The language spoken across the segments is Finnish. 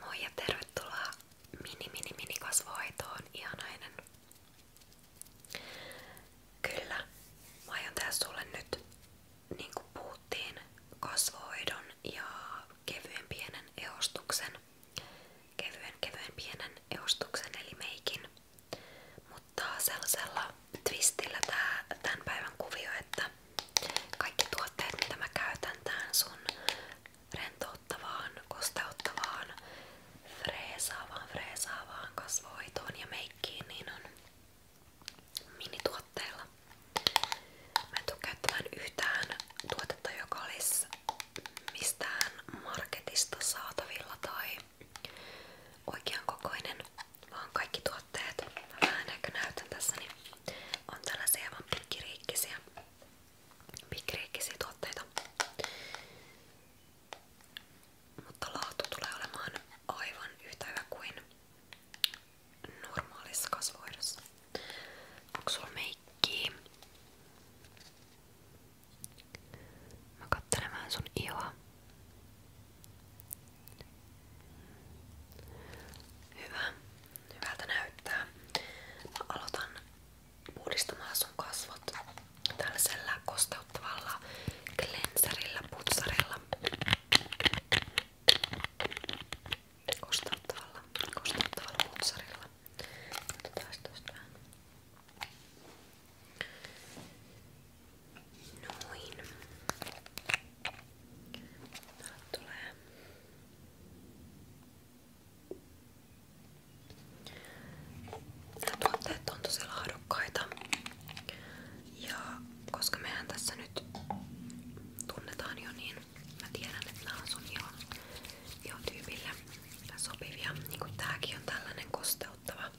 Moi ja tervetuloa mini mini mini kasvohoitoon, ihanainen. Kyllä, mä aion tehdä sulle nyt, niin kuin puhuttiin, kasvohoidon ja kevyen pienen eostuksen. Kevyen kevyen pienen eostuksen eli meikin. Mutta sellaisella twistillä tää, tämän päivän kuvio, että että kaikki tuotteet, mitä mä käytän tähän sun rentouttavaan, kosteuttavaan, freesaavaan, freesaavaan kasvohoitoon ja meikkiin, niin on minituotteilla. Mä en tuu käyttämään yhtään tuotetta, joka olisi mistään marketista saatavilla tai oikean kokoinen, vaan kaikki tuotteet, mä vähän ehkä näytän tässä, niin on tällaisia aivan pikkiriikkisiä pikriikkisiä tuotteita. Mutta laatu tulee olemaan aivan yhtä hyvä kuin normaalissa kasvoidossa. Onko sulla meikkiä? Mä kattelen vähän sun ihoa. Hyvä. Hyvältä näyttää. Mä aloitan puhdistamaan sun kasvot tällaisella kosteuttavalla cleanserilla, putsarilla. Kosteuttavalla, kosteuttavalla putsarilla. Otetaan tosta vähän. Noin. Täällä tulee Nämä tuotteet on tosi laadukkaita. Ja koska mehän tässä nyt tunnetaan jo, niin mä tiedän, että nämä on sun ihon, ihon tyypille sopivia. Niin kuin tääkin on tällainen kosteuttava.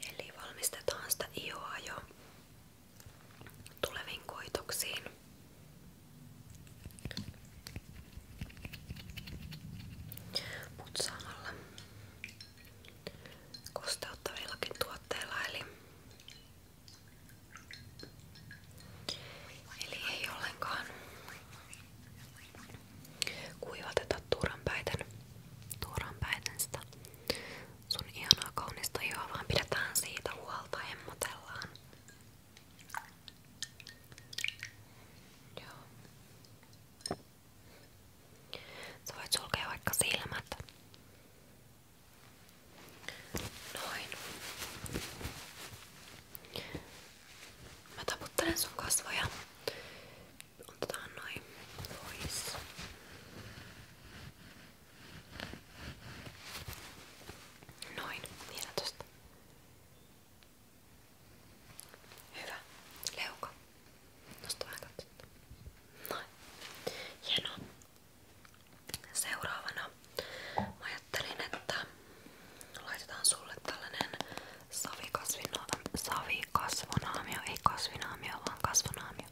Eli valmistetaan sitä ihoa jo tuleviin koitoksiin. Mutta samalla kosteuttavillakin tuotteilla eli, eli ei ollenkaan kuivateta turhanpäiten, turhanpäiten sitä sun ihanaa kaunista ihoa, vaan pidetään siitä huolta, hemmotellaan Joo. Sä voit sulkea vaikka silmät. Noin. Mä taputtelen sun kasvoja. Otetaan noin pois. Noin, vielä tosta. Hyvä. Leuka. Nosta vähän katsetta. Noin. Hienoa. Seuraavana mä ajattelin, että laitetaan sulle tällainen savikasvonaamio, ei kasvinaamio, vaan kasvonaamio.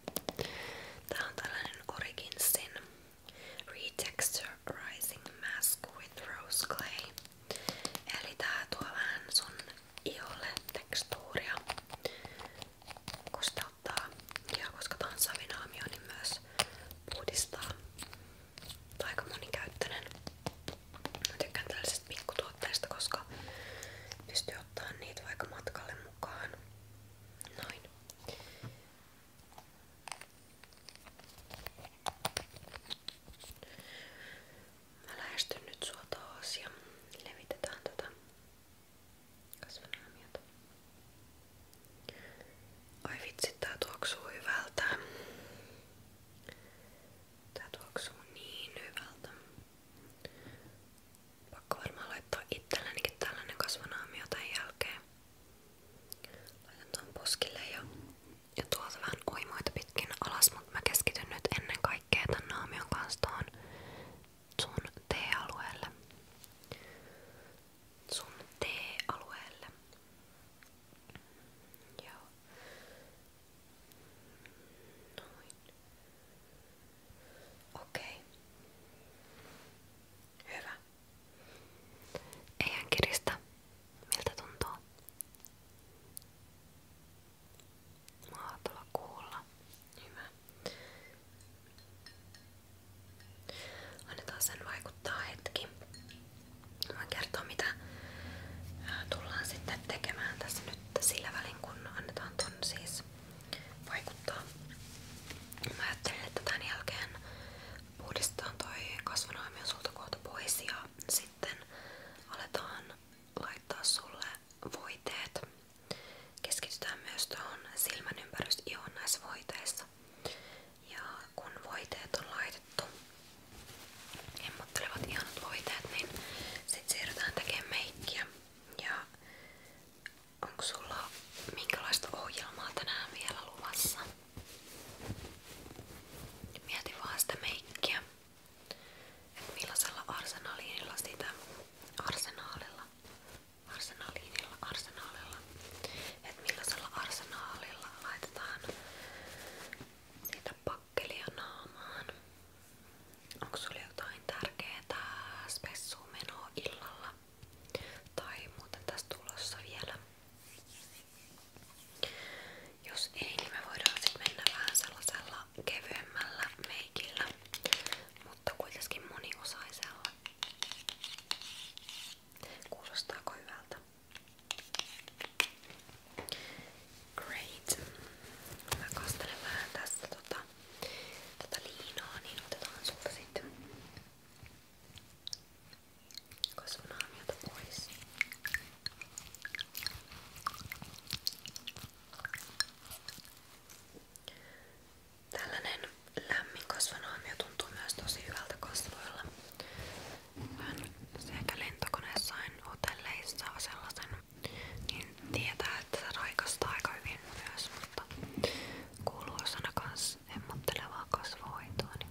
Tää on tällainen Originsin Retexturizing Mask with Rose Clay. Eli tää tuo vähän sun iholle tekstuuria, kun sitä ottaa. Ja koska tää on savinaamio, niin myös puhdistaa. Tää on aika monikäyttöinen. Mä tykkään tällaisista pikkutuotteista, koska pystyy ottaa niitä vaikka matkalle mukaan. Noin. Mä lähestyn nyt sua taas ja levitetään tätä tota kasvinaamiota. Ai vitsi, tää tuoksuu hyvältä. Tää tuoksuu niin hyvältä. Pakko varmaan laittaa itsellenikin tällainen kasvanaamio tämän jälkeen. Laitan tuon poskille ja, ja tuolta vähän uimoita pitkin alas, mutta mä keskityn nyt ennen kaikkea tän naamion kanssa tuohon sun T-alueelle. Sun T-alueelle. Joo. Noin. Okei. Okay. Hyvä. Ei hän kiristä. Miltä tuntuu? Mahtava kuulla. Hyvä. Annetaan sen vaikuttaa hetki. Voin kertoa mitä tullaan sitten tekemään tässä nyt sillä välin kun annetaan ton siis vaikuttaa. Mä ajattelin, että tämän jälkeen puhdistetaan toi kasvonaamio sulta kohta pois ja sitten aletaan laittaa sulle voiteet. Keskitytään myös tuohon silmän näissä voiteissa. Ja kun voiteet on laitettu, emmottelevat ihanat voiteet, niin sitten siirrytään tekemään meikkiä. Ja onko sulla ohjelmaa tänään vielä luvassa? Mieti vaan sitä meikkiä, että millaisella arsenaliinilla sitä arsenaalilla, arsenaliinilla, arsenaalilla, että millaisella arsenaalilla laitetaan sitä pakkelia naamaan. Onko sulla jotain tärkeää spessumenoa illalla? Tai muuten tässä tulossa vielä? Jos ei, niin me voidaan sitten mennä vähän sellaisella kevyemmällä meikillä, mutta kuitenkin moniosaisella. Kuulostaako hyvältä? Great. Mä kastelen vähän tästä tota, tota liinaa, niin otetaan sulta sitten Kasvun aamiota pois. Tällainen lämmin kasvanaamio tuntuu myös tosi hyvältä kasvoilla. Olen sekä lentokoneessa että hotelleissa sellaisen, niin tietää, että se raikastaa aika hyvin myös, mutta kuuluu osana kans hemmottelevaa kasvohoitoa. Niin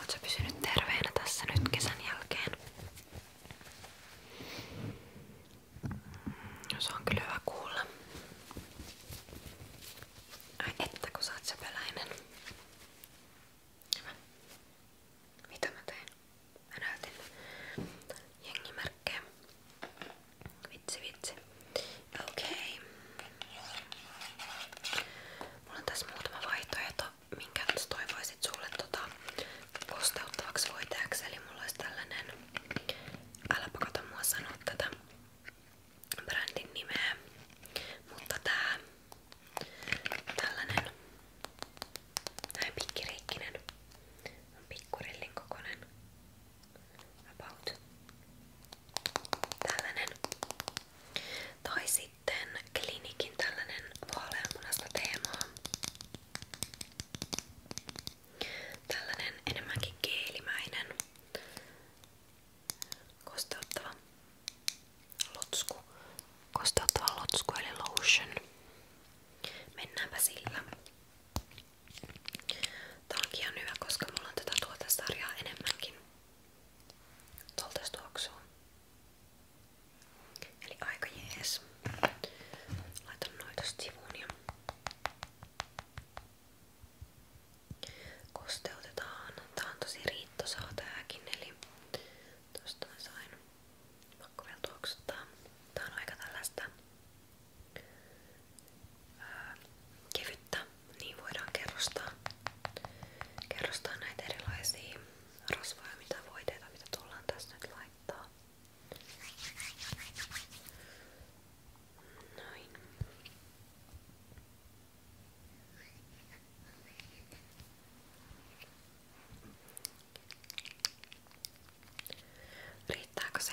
Oot sä pysynyt terveenä tässä nyt kesän jälkeen? No, se on kyllä hyvä kuulla. Ai että kun sä oot sepeläinen. Hyvä. Mitä mä tein? Mä näytin jengimerkkejä. Vitsi vitsi. Okei. Okay. Mulla on tässä muutama vaihtoehto minkä toivoisit sulle tota, kosteuttavaksi voiteeksi. Eli mulla olisi tällainen, äläpä kato mua sanoa tätä brändin nimeä, mutta tää tällainen näin pikkiriikkinen on pikkurillin kokonen about tällainen tai sitten sitten klinikin tällainen vaaleanmunasta teemaa. Tällainen enemmänkin keelimäinen kosteuttava lotsku. Kosteuttava lotsku eli lotion. Mennäänpä sillä. Tää on hyvä, koska mulla on tätä tuotesarjaa enemmänkin. Tuolta tuoksuu. Eli aika jees. Laitan noita sivuun ja kosteutetaan. Tää on tosi riittosaa tääkin, eli tosta mä sain pakko vielä tuoksuttaa. Tää on aika tällaista ää, kevyttä, niin voidaan kerrostaa, kerrostaa näitä erilaisia rasvoja, mitä voiteita, mitä tullaan tässä nyt laittaa. Noin. Riittääkö se?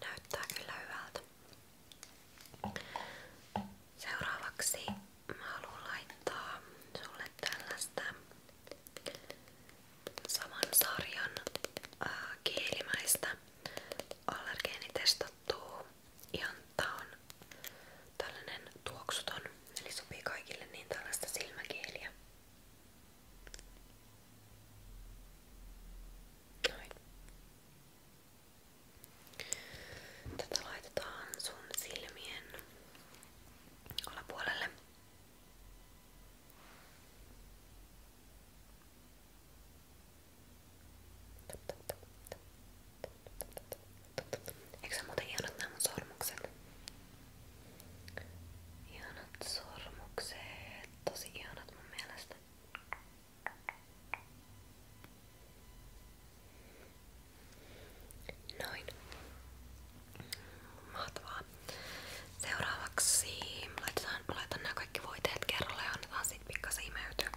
Näyttää kyllä hyvältä. Seuraavaksi mä haluan laittaa sulle tällaista saman sarjan äh, kielimäistä allergeenitestattua jantta on tällainen tuoksuton, eli sopii kaikille niin tällaista silmäkieliä. Noin. Tätä laitetaan sun silmien alapuolelle. Eikö se muuten ihanat nämä mun sormukset? Ihanat sormukset, tosi ihanat mun mielestä. Noin. Mahtavaa. Seuraavaksi laitetaan, laitan nämä kaikki voiteet kerralla ja annetaan sit pikkasen imeytyä.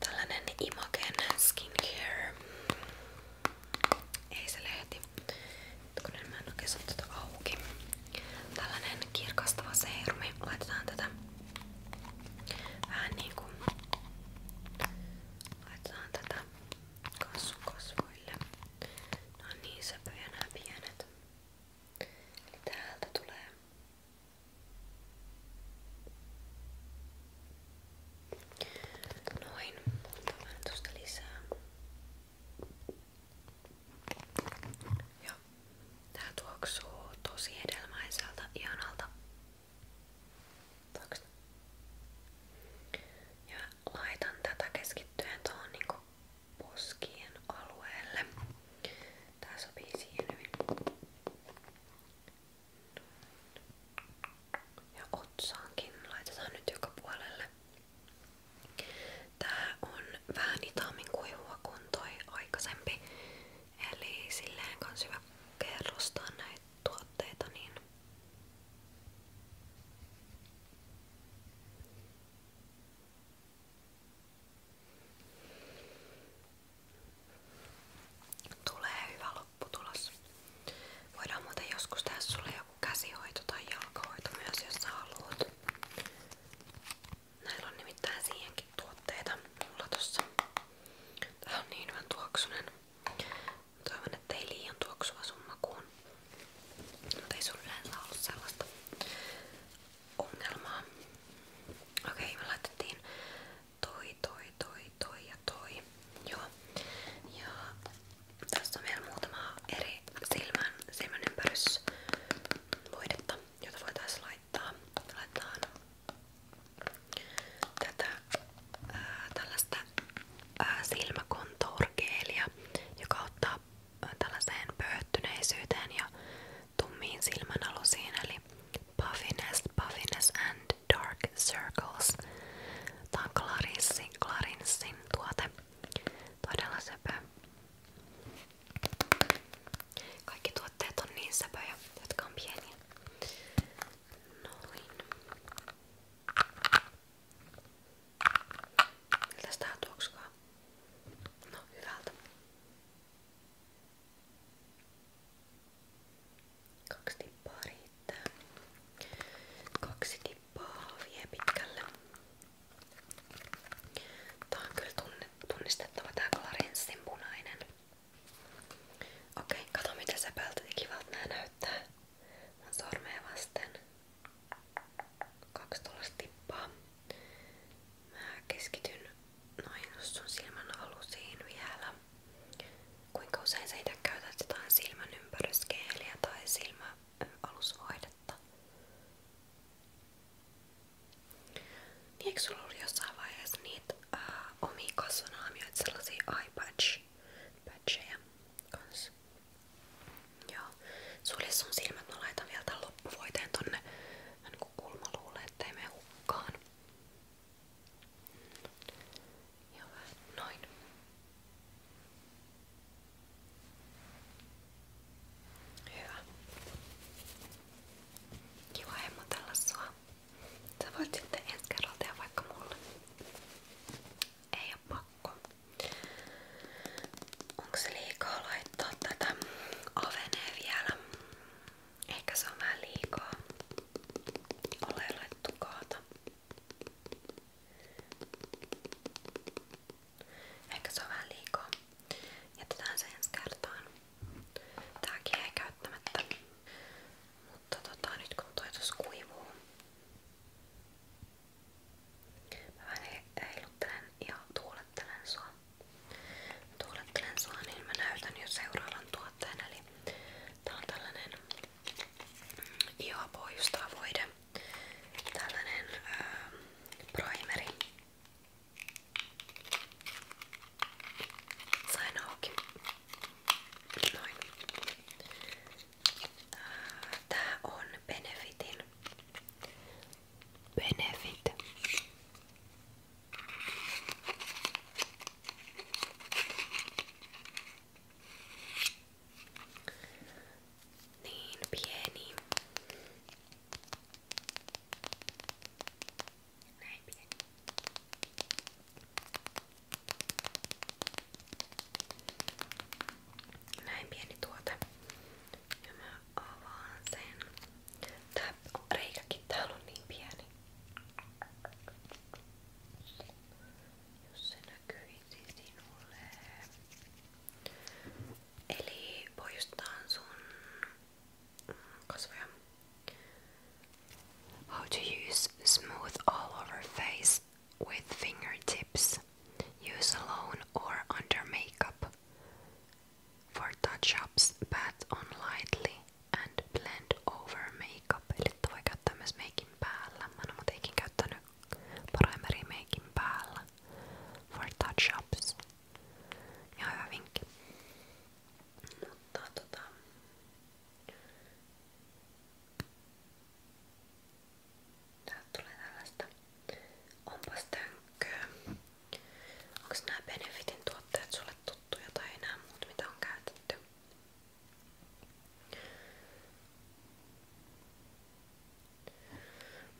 Tällainen Imagen Skincare. Ei se lehti. Kun en mä en oikein saa tätä auki. Tällainen kirkastava seerumi. Laitetaan tätä vähän niinku Laitetaan tätä kasvukasvoille. No niin söpöjä nämä pienet. Eli täältä tulee. Noin, otetaan vähän tuosta lisää. Ja tää tuoksuu tosi hedelmäiseltä, ihanalta ja laitan tätä keskittyen tuohon niinku poskien alueelle. Tää sopii siihen hyvin. Ja otsaankin laitetaan nyt joka puolelle. Tää on vähän hitaammin kuivua kuin toi aikaisempi. Eli silleen kans hyvä kerrostaa näitä tuotteita niin Tulee hyvä lopputulos. Voidaan muuten joskus tehdä sulle joku käsihoito tai jalkahoito myös, jos sä haluat. Näillä on nimittäin siihenkin tuotteita mulla tossa. Tää on niin hyvän tuoksunen. Toivon, että ei liian tuoksuva sun makuun. Mutta ei sulla yleensä ollut sellaista ongelmaa. Okei, okay, me laitettiin toi, toi, toi, toi ja toi. Joo. Ja tässä on vielä muutama eri silmän, silmän ympärysvoidetta, jota voitaisiin laittaa. Laitetaan tätä ää, tällaista ää, silmäkontourgeelia, joka ottaa tällaiseen pöhtyneisyyteen ja tummiin silmänalusiin eli puffiness, puffiness and dark circles. Tää on Clarinssin, Clarinssin tuote. Todella söpö. Kaikki tuotteet on niin söpöjä, jotka on pieniä. Noin. Miltäs tää tuoksukaa? No, hyvältä. 2 tippaa riittää. Kaksi tippaa vie pitkälle. Tää on kyllä tunnistettava tää Clarencen punainen. Okei, kato miten se päältä niin kivalta nää näyttää. Mun vasten. Kaksi keskityn noin sun silmän vielä. Kuinka usein sä itse silmän ympäryskeeliä tai silmäalusvoidetta? Niin eikö sulla ollut jossain vaiheessa niitä äh, omia kasvonaamioita, sellaisia eye patch patch, patcheja kanssa. Joo. Sulje sun silmät, mä laitan vielä tän loppuvoiteen tonne niin kuin kulmaluulle, ettei mene hukkaan. Ja vähän noin. Hyvä. Kiva hemmotella sua. Sä voit sitten ensi kerralla tehdä vaikka mulle. Ei oo pakko. Onko se liikaa laittaa tätä avenee vielä? Ehkä se on vähän liikaa. Ole laittu kaata. Ehkä se on vähän liikaa. Jätetään se ensi kertaan. Tääkin ei käyttämättä. Mutta tota, nyt kun toi tuossa kuivuu, mä vähän heiluttelen ja tuulettelen sua. Tuulettelen sua, niin mä näytän jo seuraavan tuotteen. Eli tää on tällainen mm, voide, tällainen ää, primeri. Sain auki. Noin. Tää on Benefitin Benefit. Niin pieni. Näin pieni. Näin pieni tuote. Ja mä sen. Tää reikäkin niin pieni. Jos se näkyisi Eli poistaan sun kasvoja. How to use smooth all over face with fingertips. Use alone or under makeup. For touch-ups, but on lightly and blend over makeup. Eli voi käyttää myös meikin päällä. Mä en oo muutenkin käyttänyt primary meikin päällä. For touch-ups. Ja hyvä vinkki. Täältä tulee tällaista. Onpas tönkköä. Onks nää Benefitin tuotteet sulle tuttuja tai enää muut mitä on käytetty?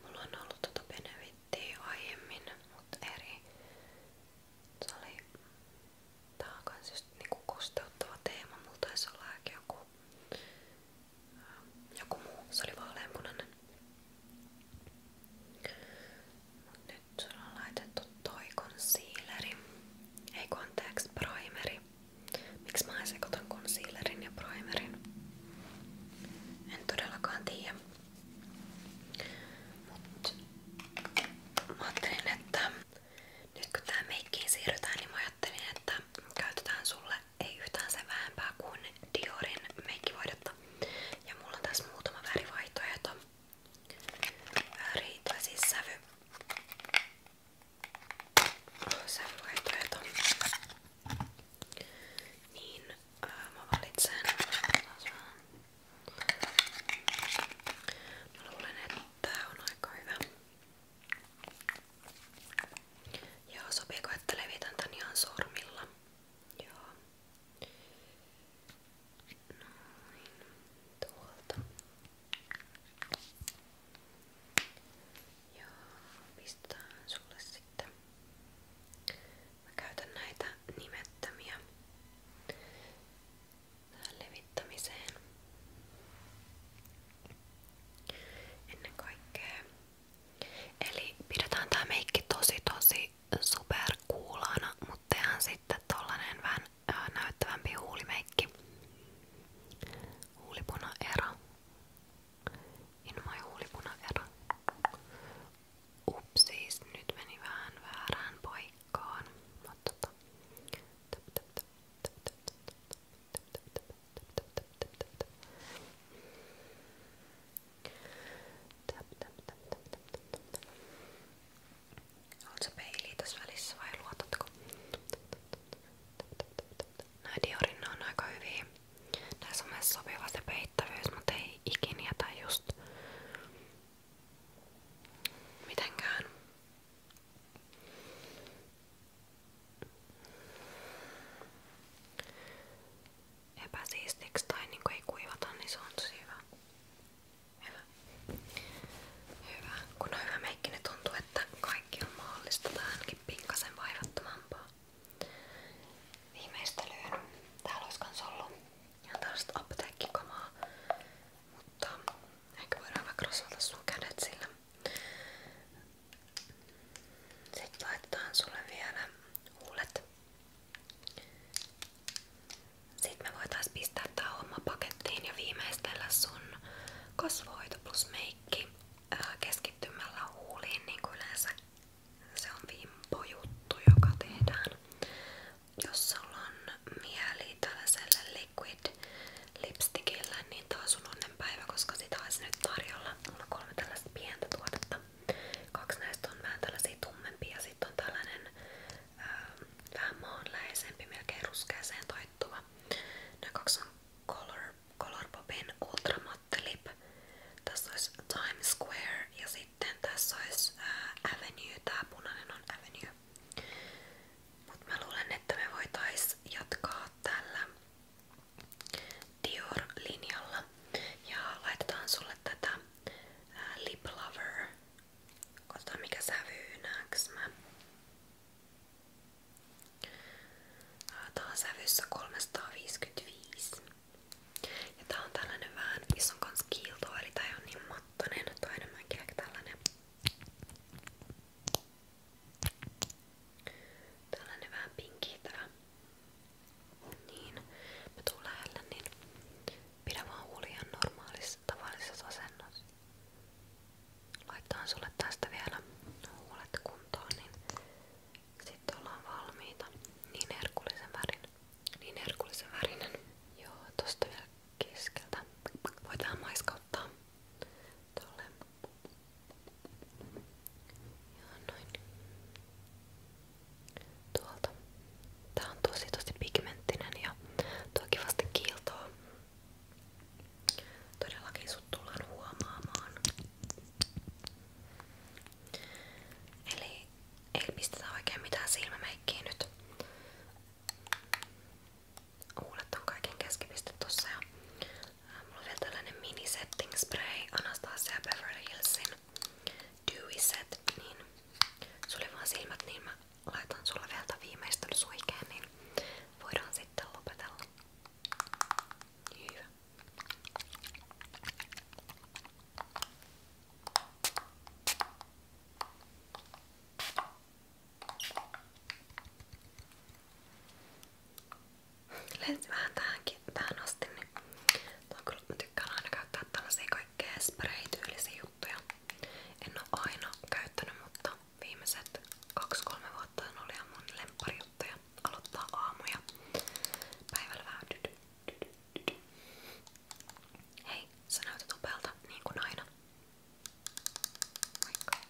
Mulla on ollut tota Benefittiä aiemmin, mutta eri. Se oli Tää on kans just niinku kosteuttava teema. Mulla taisi olla ehkä joku, ähm, joku muu. Se oli vaaleanpunainen. Mut nyt sulla on laitettu toi concealeri. Ei kun anteeksi, primeri. Miksi mä en sekoitan concealerin ja primerin? En todellakaan tiedä. Mut mä ajattelin, että nyt kun tää meikkiin siirrytään, niin mä ajattelin, että käytetään sulle ei yhtään sen vähempää kuin Diorin meikkivoidetta. Ja mulla on tässä muutama värivaihtoehto. Väri tai siis sävy. Sävyvaihtoehto. Niin, ää, mä valitsen. Mä luulen, että tää on aika hyvä. Joo, sopiiko, että levitän tän ihan sormilla? Joo. Noin. Tuolta. Joo, pistetään sulle sitten. Mä käytän näitä nimettömiä. Tää päivittämiseen. Ennen kaikkea. Eli pidetään tää meikki tosi tosi superkuulaana, mutta tehdään sitten tollanen vähän äh, näyttävämpi huulimeikki. Huulipuna era. Inmai huulipuna era. Upsis, nyt meni vähän väärään paikkaan. Mutta tota. Töp, töp, töp, töp, töp, töp, töp. Haluatko peiliä tässä välissä vai luotatko? Nää Diorin on aika hyviä. Näissä on myös sopiva se peittävyys, mutta ei ikin jätä just mitenkään Epäsiistiksi tai niin ei kuivata, niin se hyvä. Kun on hyvä meikki, niin on mahdollista tai ainakin pikkasen vaivattomampaa. Viimeistelyyn. Täällä olisi kans ollut ihan tällaista apteekkikamaa. Mutta ehkä voidaan vaikka rasvata sun sitten laitetaan sulle vielä huulet. Sitten me voitais pistää tää pakettiin ja viimeistellä sun kasvoito plus meikki äh, keskittymällä huuliin, niin se on vimpo juttu, Jos sulla on mieli tällaiselle niin taas sun on lasten päivä, koska sitä olisi nyt tarjolla. Mulla on kolme tällaista pientä tuotetta. Kaksi näistä on vähän tällaisia tummempia ja sitten on tällainen ää, ähm, vähän maanläheisempi, melkein ruskeaseen taittuva. Nämä kaksi on Color, Color Popin Ultra Matte Lip. Tässä olisi Times Square ja sitten tässä olisi ää, äh, Avenue. Tää punainen on Avenue. Mut mä luulen, että me voitais jatkaa tällä Dior-linjalla. Ja laitetaan sulle tätä ää, Lip Lover. Katsotaan mikä sävyy näks mä. Tää on sävyssä 355. Ja tää on tällainen vähän, missä on kans kiiltoa, eli tää on niin mattonen. Tää on enemmänkin ehkä tällainen Tällainen vähän pinkki tää. Niin, mä tuun lähelle, niin pidä vaan huulijan normaalissa tavallisessa asennossa. Laitetaan sulle tästä vielä huulet kuntoon, niin sitten ollaan valmiita. Niin herkullisen värin. Niin herkullisen värinen. Joo, tosta vielä keskeltä. Voit vähän maiskauttaa tolle Joo, noin. Tuolta. Tää on tosi tosi pigmenttinen ja tuo kivasti kiiltoa. Todellakin sut tullaan huomaamaan. Eli ei pistetä oikein mitään silmämeikkiä nyt huulet on kaiken keskipiste tossa ja ää, mulla on vielä tällainen mini setting spray Anastasia Beverly Hillsin Dewy Set, niin sulla vaan silmät, niin mä laitan sulle vielä tämän viimeistön suikeen, niin voidaan sitten lopetella. Hyvä lensi vähän tähänkin, tähän asti, niin on kyllä, mä tykkään aina käyttää tällaisia kaikkea spray-tyylisiä juttuja. En oo aina käyttänyt, mutta viimeiset 2-3 vuotta on ollut ihan mun lempparijuttuja. Aloittaa aamuja. Päivällä vähän dydy, dydy, dydy. Hei, sä näytät upealta, niin kuin aina. Moikka.